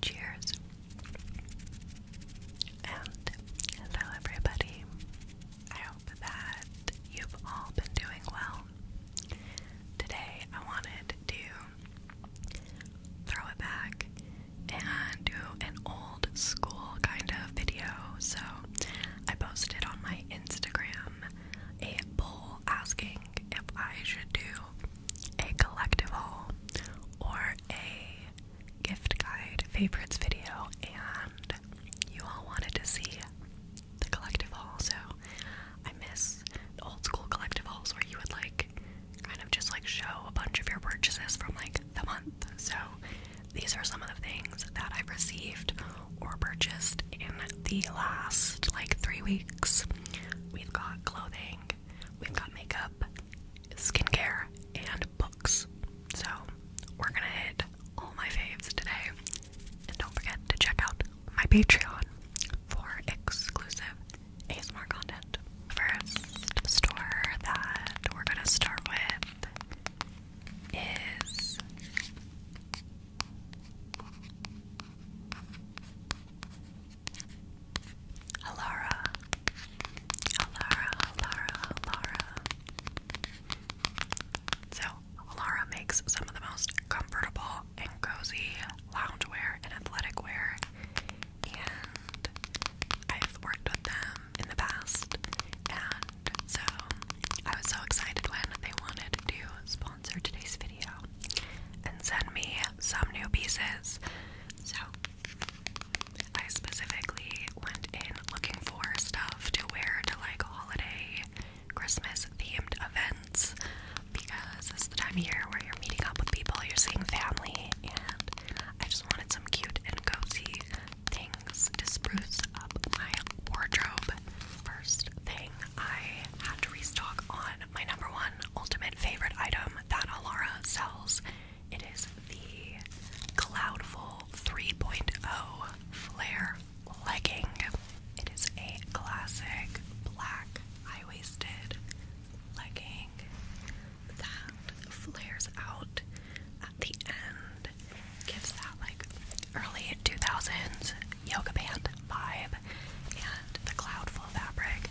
Cheers. And hello, everybody. I hope that you've all been doing well. Today, I wanted to throw it back and do an old school kind of video. So, I posted on my Instagram a poll asking think if I should do a collective haul or a gift guide favorites video, and you all wanted to see the collective haul, so I miss the old school collective hauls where you would like kind of just like show a bunch of your purchases from like the month. So these are some of the things that I've received or purchased in the last like three weeks. We've got clothing, we've got makeup, skincare, and books. So we're gonna hit all my faves today. And don't forget to check out my Patreon for exclusive ASMR content. First store that we're gonna start with is Alara, Alara, Alara, Alara. So, Alara makes some of the most comfortable and cozy loungewear and athletic wear, and I've worked with them in the past, and so I was so excited when they wanted to sponsor today's video and send me some new pieces. So, I specifically went in looking for stuff to wear to like holiday, Christmas themed events because it's the time of year where you're meeting up with people, you're seeing family, and I just wanted some cute and cozy things to spruce up my wardrobe. First thing, I had to restock on my number one ultimate favorite item that Alara sells. It is the Cloudful 3.0 Flare Legging. It is a classic black high waisted legging that flares out at the end, gives that like early 2000s yoga band vibe and the cloud full fabric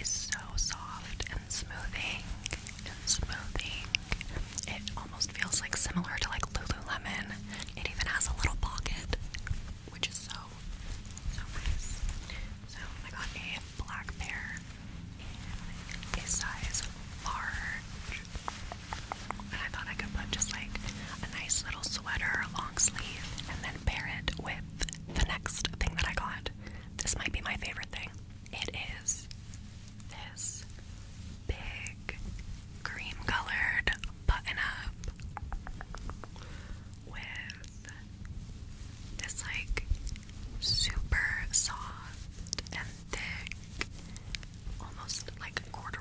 is so soft and smoothing and smoothing. It almost feels like similar to like Lululemon. It even has a little pocket, which is so so nice. So I got a black pair in a size large, and I thought I could put just like a nice little sweater long sleeve and then pair it with the next thing that I got. This might be my favorite thing. It is this big cream colored button up with this like super soft and thick, almost like quarter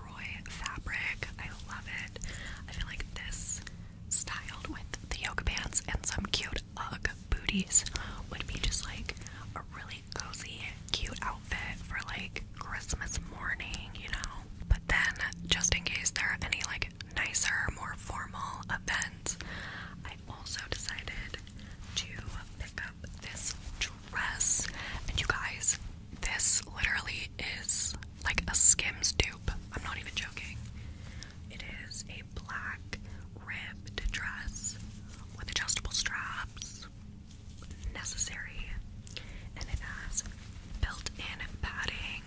fabric. I love it. I feel like this styled with the yoga pants and some cute booties would be just like a really cozy, cute outfit for like Christmas morning, you know? But then, just in case there are any like nicer, more formal events, I also decided to pick up this dress. And you guys, this literally is like a Skims dupe. I'm not even joking. It is a black ribbed dress with adjustable straps, necessary, and it has built-in padding.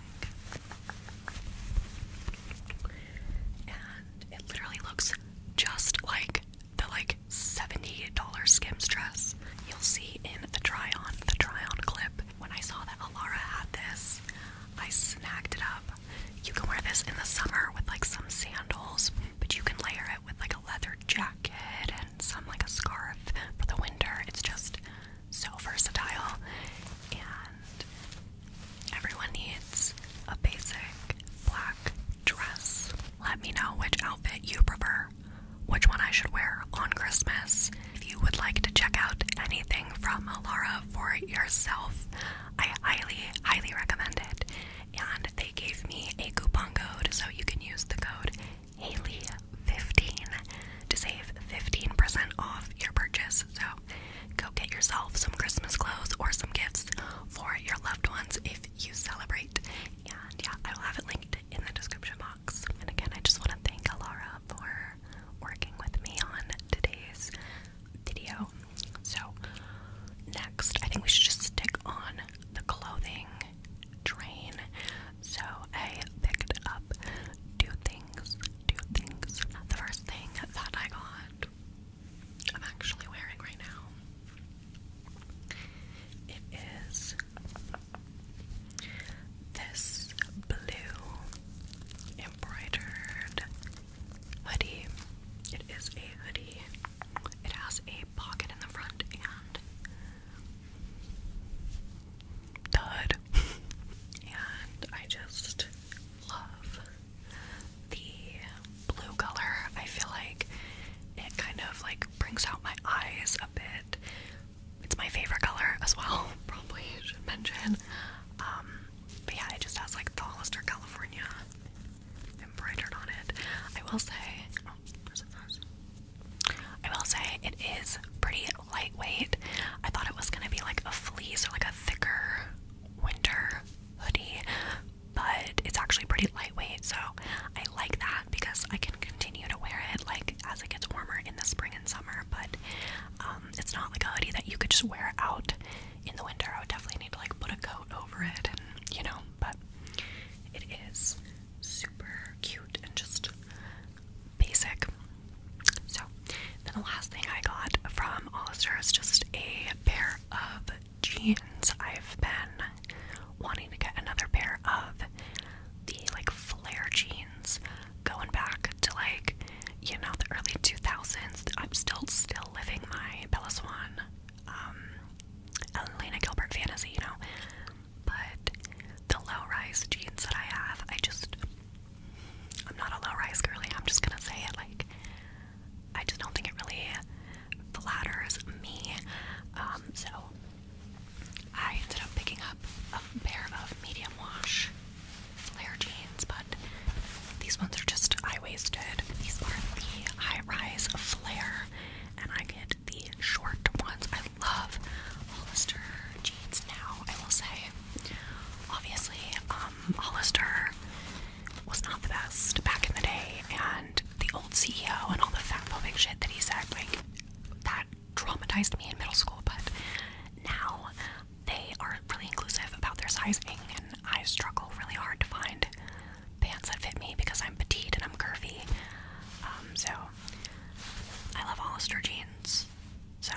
And it literally looks just like the like $70 Skims dress you'll see in the try-on, the try-on clip. When I saw that Alara had this, I snagged it up. You can wear this in the summer with like some sandals, but you can layer it with like a leather jacket and some like a scarf for the winter. It's just so versatile, and everyone needs a basic black dress. Let me know which outfit you prefer which one I should wear on Christmas. If you would like to check out anything from Alara for yourself, I highly, highly recommend it. And they gave me a coupon code, so you can use the code Haley15 to save 15% off your purchase. So go get yourself some Christmas clothes or some gifts for your loved ones if you celebrate. And yeah, I will have it linked in the description box. And again, I just want to thank Alara for working with me on today's video. So, next, I think we should just stick on the clothing train. So, I picked up two things. Two things. The first thing that I got, I'm actually wearing right now, it is this blue embroidered hoodie. It is a hoodie. It has a pocket in the front and the hood. and I just love the blue color. I feel like it kind of like brings out my eyes a bit. It's my favorite color as well. Probably should mention. Um, but yeah, it just has like the Hollister California embroidered on it. I will say, oh, will say it is pretty lightweight. I thought it was gonna be like a fleece or like a thicker winter hoodie, but it's actually pretty lightweight. So I like that because I can continue to wear it like as it gets warmer in the spring and summer, but um, it's not like a hoodie that you could just wear out in the winter. I would definitely need to like put a coat over it, and you know, but it is super cute and just basic. So, then the last thing I got from Hollister is just a pair of jeans. I've been wanting to get another pair of the like flare jeans going back to like you know the early 2000s. I'm still still living my Bella Swan, um, Elena Gilbert fantasy, you know. But the low-rise jeans that I have, I just I'm not a low-rise girly. I'm just gonna say it like I just don't think it really flatters me. Um, so I ended up picking up a pair of medium wash flare jeans, but these ones are just high waisted. These are the high rise flare, and I get the short ones. I love Hollister jeans now, I will say. Obviously, um, Hollister was not the best back in the day, and the old CEO and all the fat phobic shit that he said, like, that traumatized me in middle school, but now they are really inclusive about their sizing, and I struggle really hard to find pants that fit me because I'm petite and I'm curvy. Um, so I love Hollister jeans. So,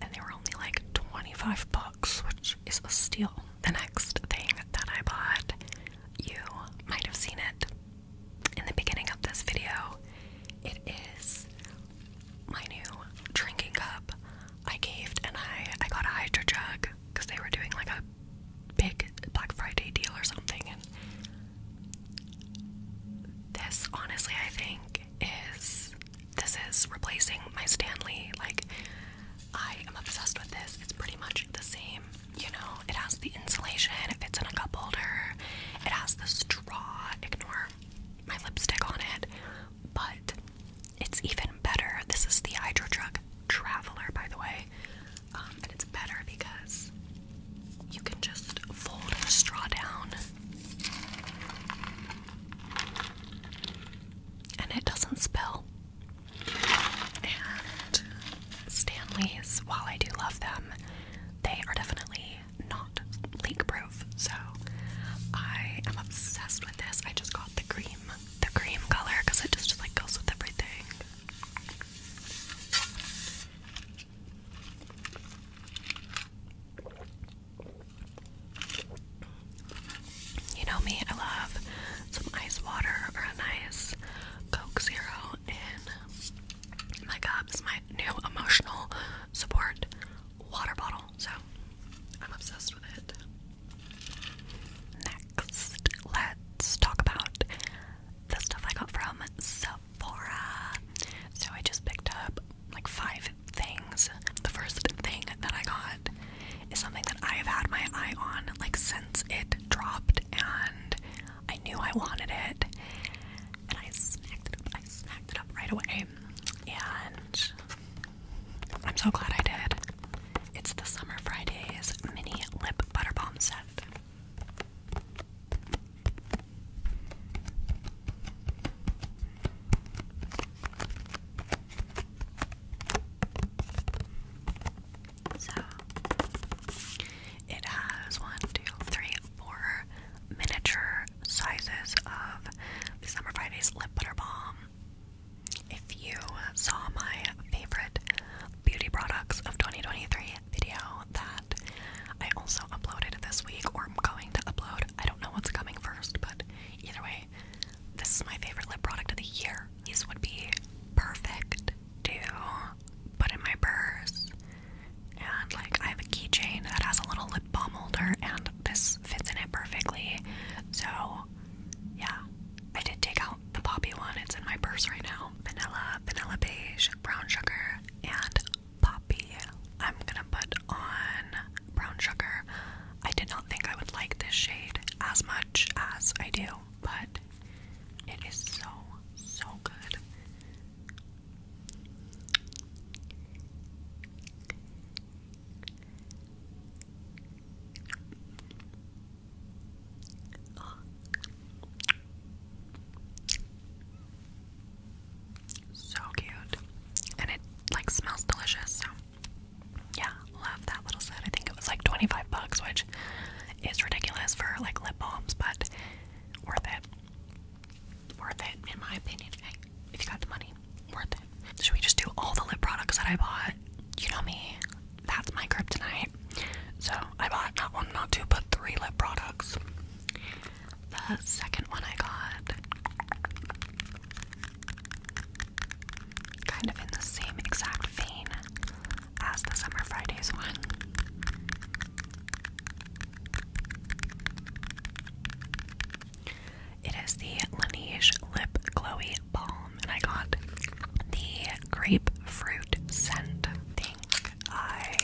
and they were only like 25 bucks, which is a steal. The next thing that I bought, you might have seen it in the beginning of this video, it is my new drinking cup. I caved and I I got a hydro jug because they were doing like a big Black Friday deal or something. And this, honestly, I think is this is replacing my Stanley. Like I am obsessed with this. It's pretty much the same. You know, it has the insulation. It fits in a cup holder. It has the raw, ignore my lipstick on it, but it's even better. This is the Hydro Traveler, by the way, um, and it's better because you can just fold the straw down and it doesn't spill. And Stanley's, while I do love them, they are definitely not leak proof. So I am obsessed with this. I just got the cream, the cream color, because it just, like goes with everything. You know me, I love some ice water or a nice Coke Zero in my cup is my new emotional support water bottle, so I'm obsessed with it. Next, let's talk about the stuff I got from Sephora. So I just picked up like five things. The first thing that I got is something that I have had my eye on like since it dropped and I knew I wanted it, and I snacked it up. I snacked it up right away, and I'm so glad I did. It's the Summer Fridays mini lip butter balm set. So it has one, two, three, four miniature sizes of this number Friday's lip butter balm. If you saw my favorite beauty products of 2023 video that I also uploaded this week, or I'm going to upload, I don't know what's coming first, but either way, this is my favorite lip product of the year. This would be perfect too put in my purse. And like I have a keychain that has a little lip balm holder and this fits in it perfectly. So yeah. I did take out the poppy one, it's in my purse right now. Vanilla, vanilla beige, brown sugar, and poppy. I'm gonna put on brown sugar. I did not think I would like this shade as much as I do, but it is so so good. So cute. And it like smells delicious. So yeah, love that little set. I think it was like 25 bucks, which is ridiculous for like lip balms, but worth it. Worth it, in my opinion. Hey, if you got the money, worth it. Should we just do all the lip products that I bought? You know me, that's my kryptonite. So I bought not one, not two, but three lip products. The second one I got kind of in the same exact vein as the Summer Fridays one. It is the Laneige Lip Glowy Balm, and I got the grapefruit scent. I think I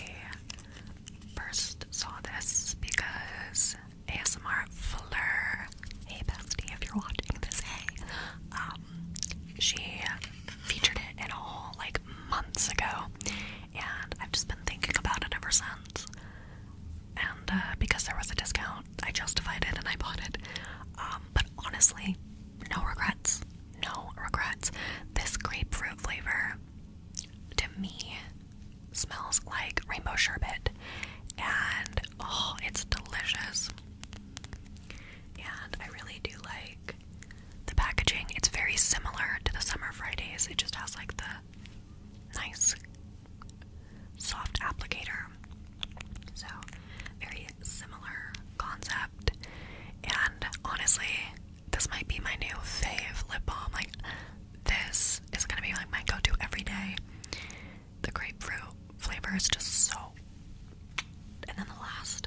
first saw this because ASMR Fleur, hey bestie, if you're watching this, hey, um, she featured it in a whole like months ago, and I've just been thinking about it ever since. And uh, because there was a discount, I justified it and I bought it. Um, but honestly, no regrets. No regrets. This grapefruit flavor, to me, smells like rainbow sherbet. And oh, it's delicious. And I really do like the packaging, it's very similar to the Summer Fridays. It just has like the nice soft applicator. So, very similar concept. And honestly, this might be my new fave lip balm. Like, this is gonna be like my go to every day. The grapefruit flavor is just so. And then the last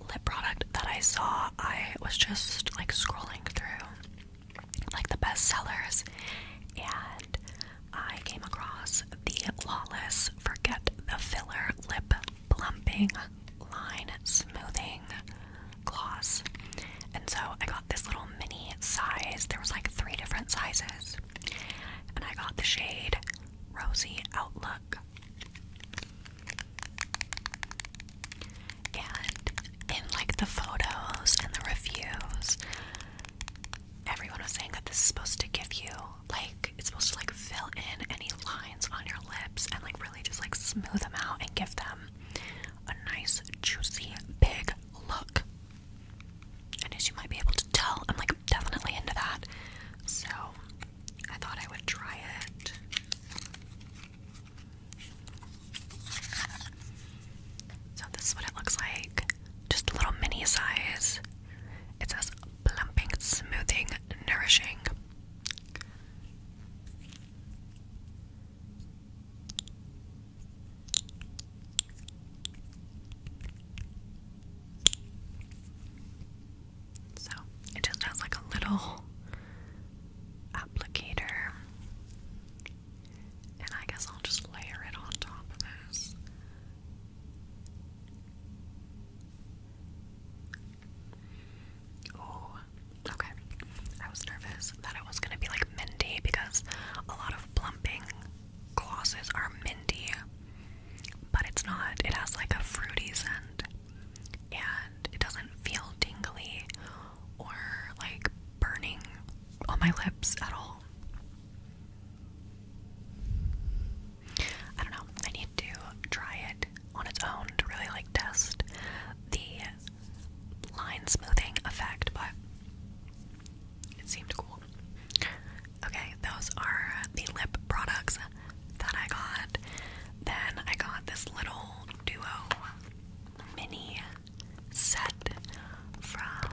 lip product that I saw, I was just like scrolling through like the best sellers and I came across the Lawless Forget the Filler Lip Plumping Line Smoothing Gloss. And so I got this little mini size. There was like three different sizes. And I got the shade Rosy Outlook. And in like the photos and the reviews, everyone was saying that this is supposed to give you like it's supposed to like fill in any lines on your lips and like really just like smooth them out and give them a nice juicy big look. And as you might be able to tell, I'm like definitely into that. So I thought I would try it. So this is what it looks like. Just a little mini size. It says plumping, smoothing, nourishing. So it just has like a little applicator. And I guess I'll just layer it on top of this. Oh, okay. I was nervous that it was gonna be like minty because a lot of plumping glosses are minty, but it's not. It has like a fruity scent and it doesn't feel dingly or like burning on my lips at all. I don't know. I need to try it on its own to really like test the line smoothing effect, but it seemed cool. Okay, those are the lip products that I got. Then I got this little duo mini set from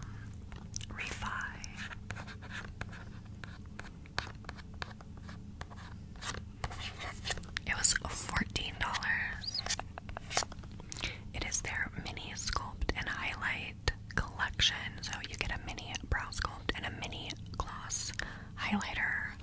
Refi. It was $14. It is their mini sculpt and highlight collection. So you get a mini brow sculpt and a mini gloss highlighter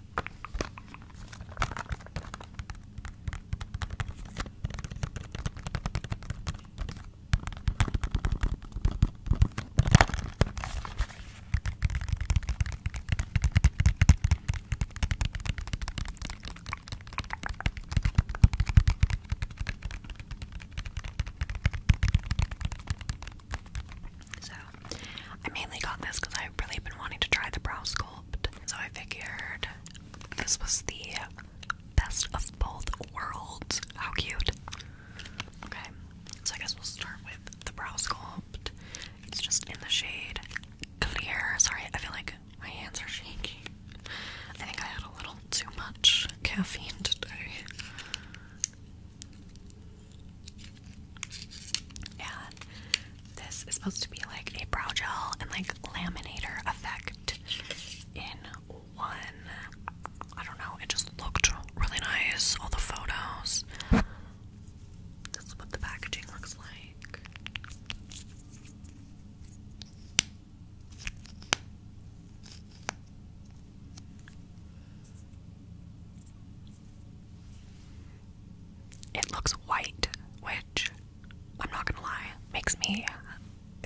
so, I mainly got this because I. I've really been wanting to try the brow sculpt, so I figured this was the best of both worlds. How cute! Okay, so I guess we'll start with the brow sculpt. It's just in the shade clear. Sorry, I feel like my hands are shaking. I think I had a little too much caffeine today. And this is supposed to be like a brow gel and like laminator effect in one. I don't know, it just looked really nice. All the photos. This is what the packaging looks like. It looks white, which I'm not gonna lie, makes me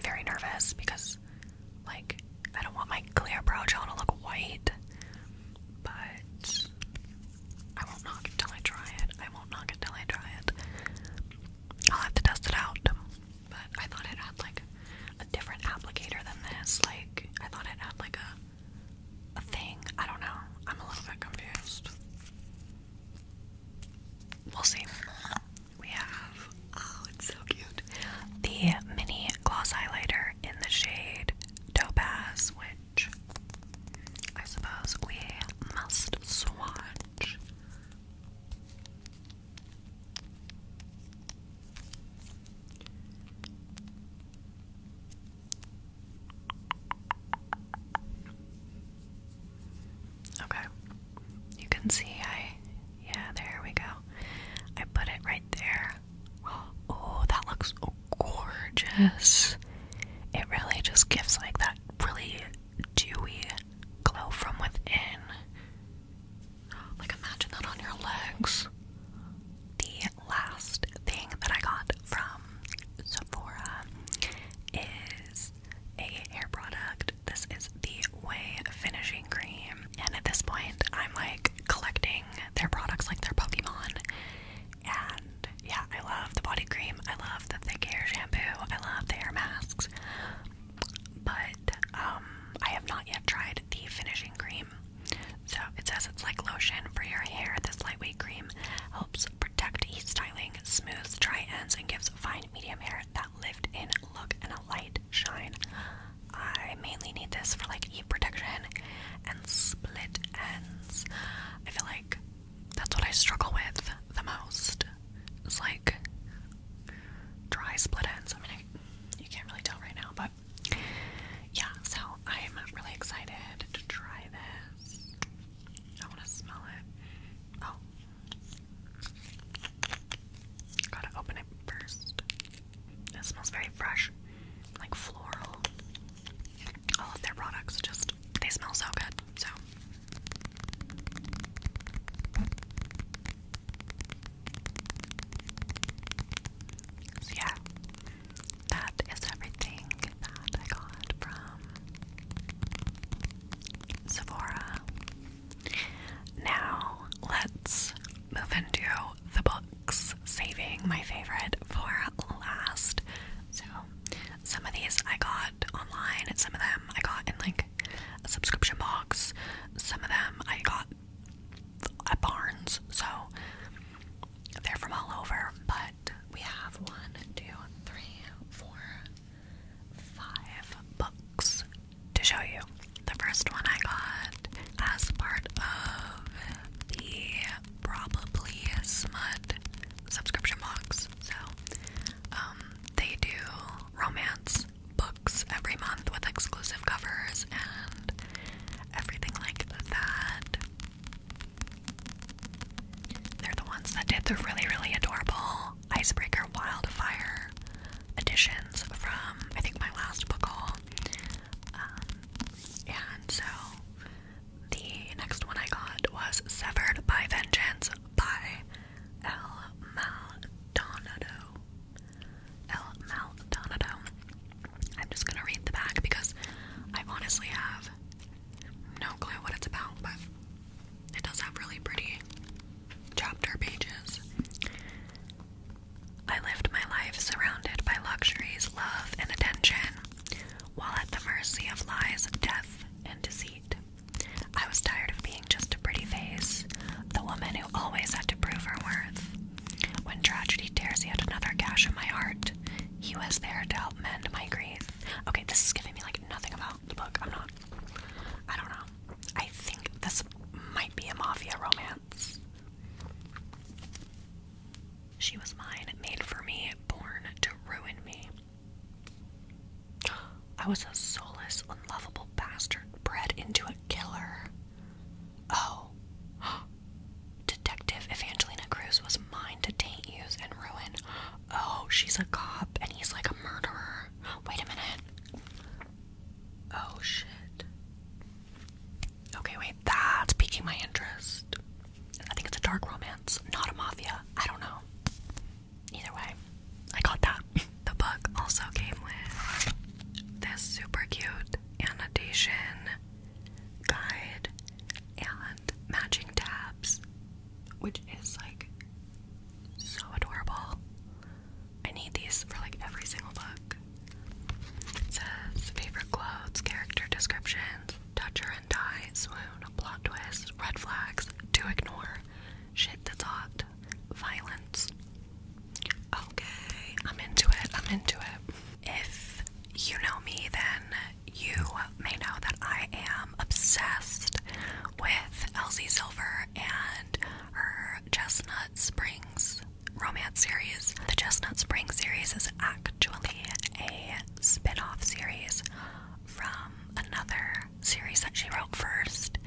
very nervous because, like, I don't want my clear brow gel to look white. But I won't knock until I try it. I won't knock until I try it. I'll have to test it out. But I thought it had like a different applicator than this. Like, I thought it had like a a thing. I don't know. I'm a little bit confused. We'll see. We have, oh, it's so cute. The mini gloss highlighter in the shade Topaz, which I suppose we must swatch. Okay. You can see I yeah, there we go. I put it right there. Oh, that looks gorgeous. It really just gives like that really dewy glow from within. Like imagine that on your legs. The last thing that I got from Sephora is a hair product. This is the Way Finishing Cream. And at this point, I'm like collecting their products like their Pokemon. And yeah, I love the body cream. I love the thick hair shampoo. I love the hair masks. But um, I have not yet tried the finishing cream. So it says it's like lotion for your hair. This lightweight cream helps protect heat styling, smooths dry ends, and gives fine medium hair that lift in look and a light shine. I mainly need this for like heat protection and split ends. I feel like that's what I struggle with the most. It's like dry split ends. I mean, I, you can't really tell right now, but yeah, so I'm really excited to try this. I want to smell it. Oh. Gotta open it first. It smells very fresh, like floral. All of their products just, they smell so good, So yeah, that is everything that I got from Sephora. Now let's move into the books, saving my favorite for last. So, some of these I got online, and some of them I got in like a subscription box, some of them I got at Barnes. So, they're from all over, but we have one, two, three, four, five books to show you. The first one I got as part of the Probably Smut subscription box. So, um, they do romance books every month with exclusive covers and everything like that. They're the ones that did the really, really adorable Icebreaker Wildfire editions from, I think, my last book haul. Um, and so the next one I got was Severed by Vengeance by El Maldonado. El Maldonado. I'm just gonna read the back because I honestly have no clue what it's about, but it does have really pretty chapter pages. I lived my life surrounded by luxuries, love, and attention, while at the mercy of lies, death, and deceit. I was tired of being just a pretty face, the woman who always had to prove her worth. When tragedy tears yet another gash in my heart, he was there to help mend my grief. Okay, this is giving me like nothing about the book. I'm not. I don't know. I think this might be a mafia romance. She was mine, made for me, born to ruin me. I was a soulless, unlovable bastard bred into a killer. Oh. Detective Evangelina Cruz was mine to taint, use, and ruin. Oh, she's a cop and he's like a murderer. Wait a minute. Oh, shit. Okay, wait, that's piquing my interest. I think it's a dark romance, not a mafia. I don't know. Either way, I got that. the book also came with this super cute annotation guide and matching tabs, which is like so adorable. I need these for like every single book. says favorite clothes, character descriptions, toucher and die, swoon, plot twist, red flags, to ignore, shit that's hot, violence. Okay, I'm into it, I'm into it. If you know me, then you may know that I am obsessed with Elsie Silver and her Chestnut Springs romance series. The Chestnut Springs series is actually a spin off series from another series that she wrote first.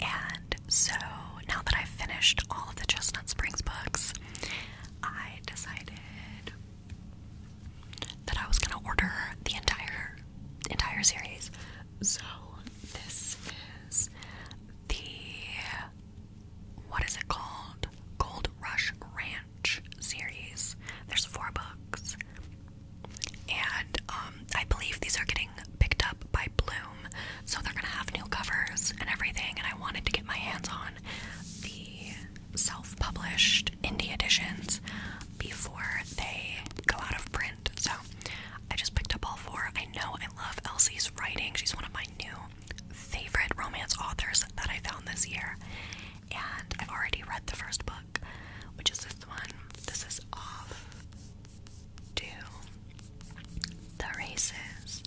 And so now that I've finished all of the Chestnut Springs books, I decided that I was gonna order the entire entire series. So this is the what is it called? Gold Rush Ranch series. There's four books. And um, I believe these are getting picked up by Bloom. So they're gonna have new covers and everything and I wanted to get my hands on the self-published indie editions before they go out of print. So I just picked up all four. I know I love Elsie's writing. She's one of my new favorite romance authors that I found this year. And I've already read the first book, which is this one. This is off to the races.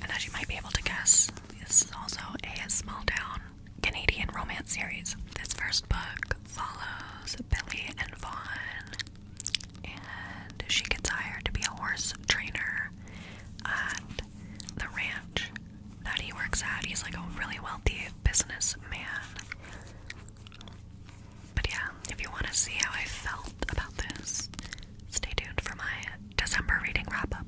And as you might be able to guess, this is also a small town Canadian romance series. This first book follows Billy and Vaughn, and she gets hired to be a horse trainer at the ranch that he works at. He's like a really wealthy business man. But yeah, if you want to see how I felt about this, Stay tuned for my December reading wrap up.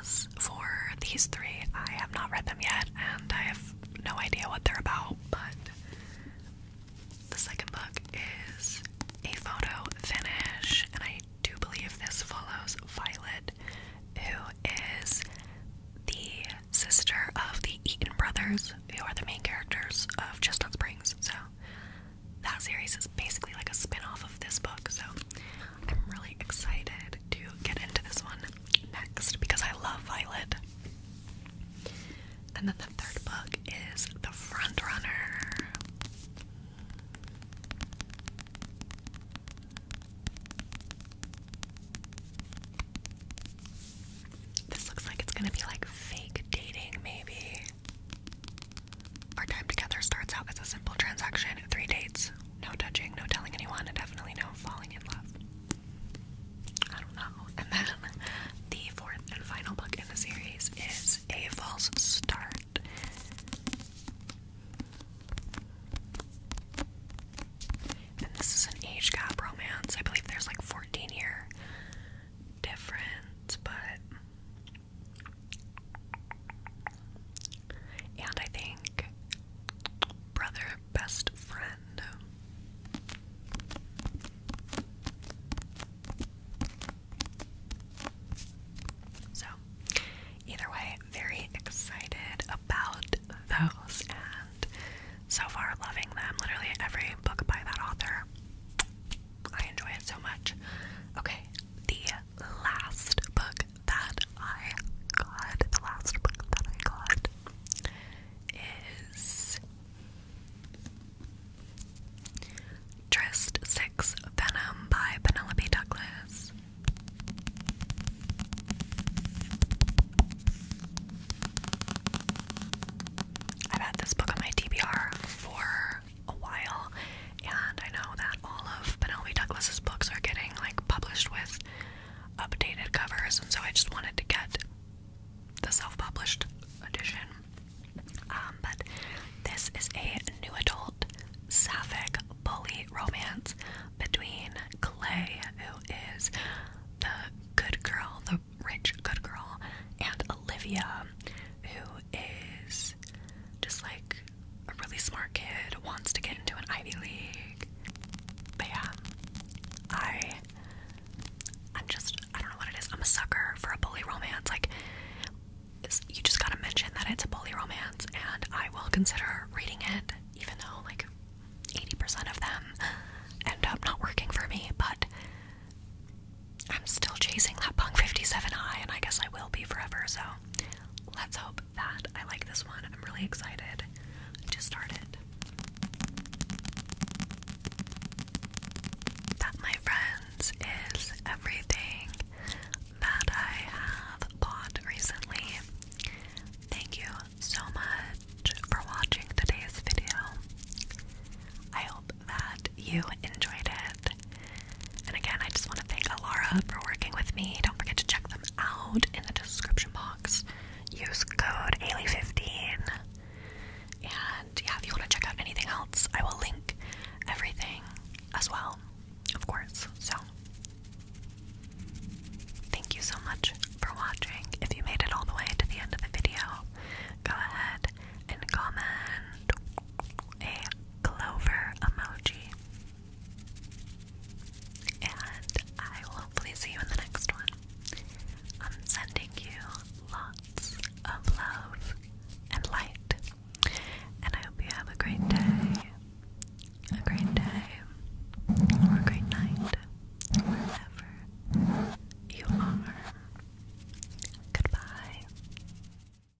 As for these three, I have not read them yet and I have no idea what they're about, but the second book is a photo finish, and I do believe this follows Violet, who is the sister of the Eaton brothers, who are the main characters of Chestnut Springs. So that series is basically like a spin-off of this book, so I'm really excited to get into this one next because I love Violet. And then the third book is The Front Runner. This looks like it's gonna be like fake dating, maybe. Our time together starts out as a simple transaction three dates, no touching, no telling anyone, and definitely no falling in love. I don't know. And then the fourth and final book in the series is A False Start. And this is an age gap romance. I believe there's like 14 year difference, but and I think brother, best friend. So, either way, very excited about those and so far loving them. Literally every book by that author. I enjoy it so much. Okay, the last book that I got, the last book that I got is Trist Six Venom by Penelope Douglas. I've had this book on my TBR for a while, and I know that all of Penelope Douglas's books are getting like published with updated covers, and so I just wanted to get the self-published edition. Um, but this is a new adult sapphic bully romance between Clay, who is the good girl, the rich good girl, and Olivia, who is just like a really smart kid, wants to get into an Ivy League. But yeah, I, I'm just, I don't know what it is. I'm a sucker for a bully romance. Like, you just gotta mention that it's a bully romance, and I will consider reading it, even though like 80% of them end up not working for me. But I'm still chasing that Punk 57 high, and I guess I will be forever. So let's hope that I like this one. I'm really excited to start it. That, my friends, is everything that I have bought recently. Thank you so much for watching today's video. I hope that you enjoyed it. And again, I just want to thank Alara for working with me. Don't forget to check them out in the description box. Use code AILY15. And yeah, if you want to check out anything else, I will link everything as well, of course. So, thank you so much for watching. If you made it all the way to the end of the video, go ahead and comment clover emoji. And I will hopefully see you in the next one. I'm sending you lots of love and light. And I hope you have a great day, a great day, or a great night, wherever you are. Goodbye.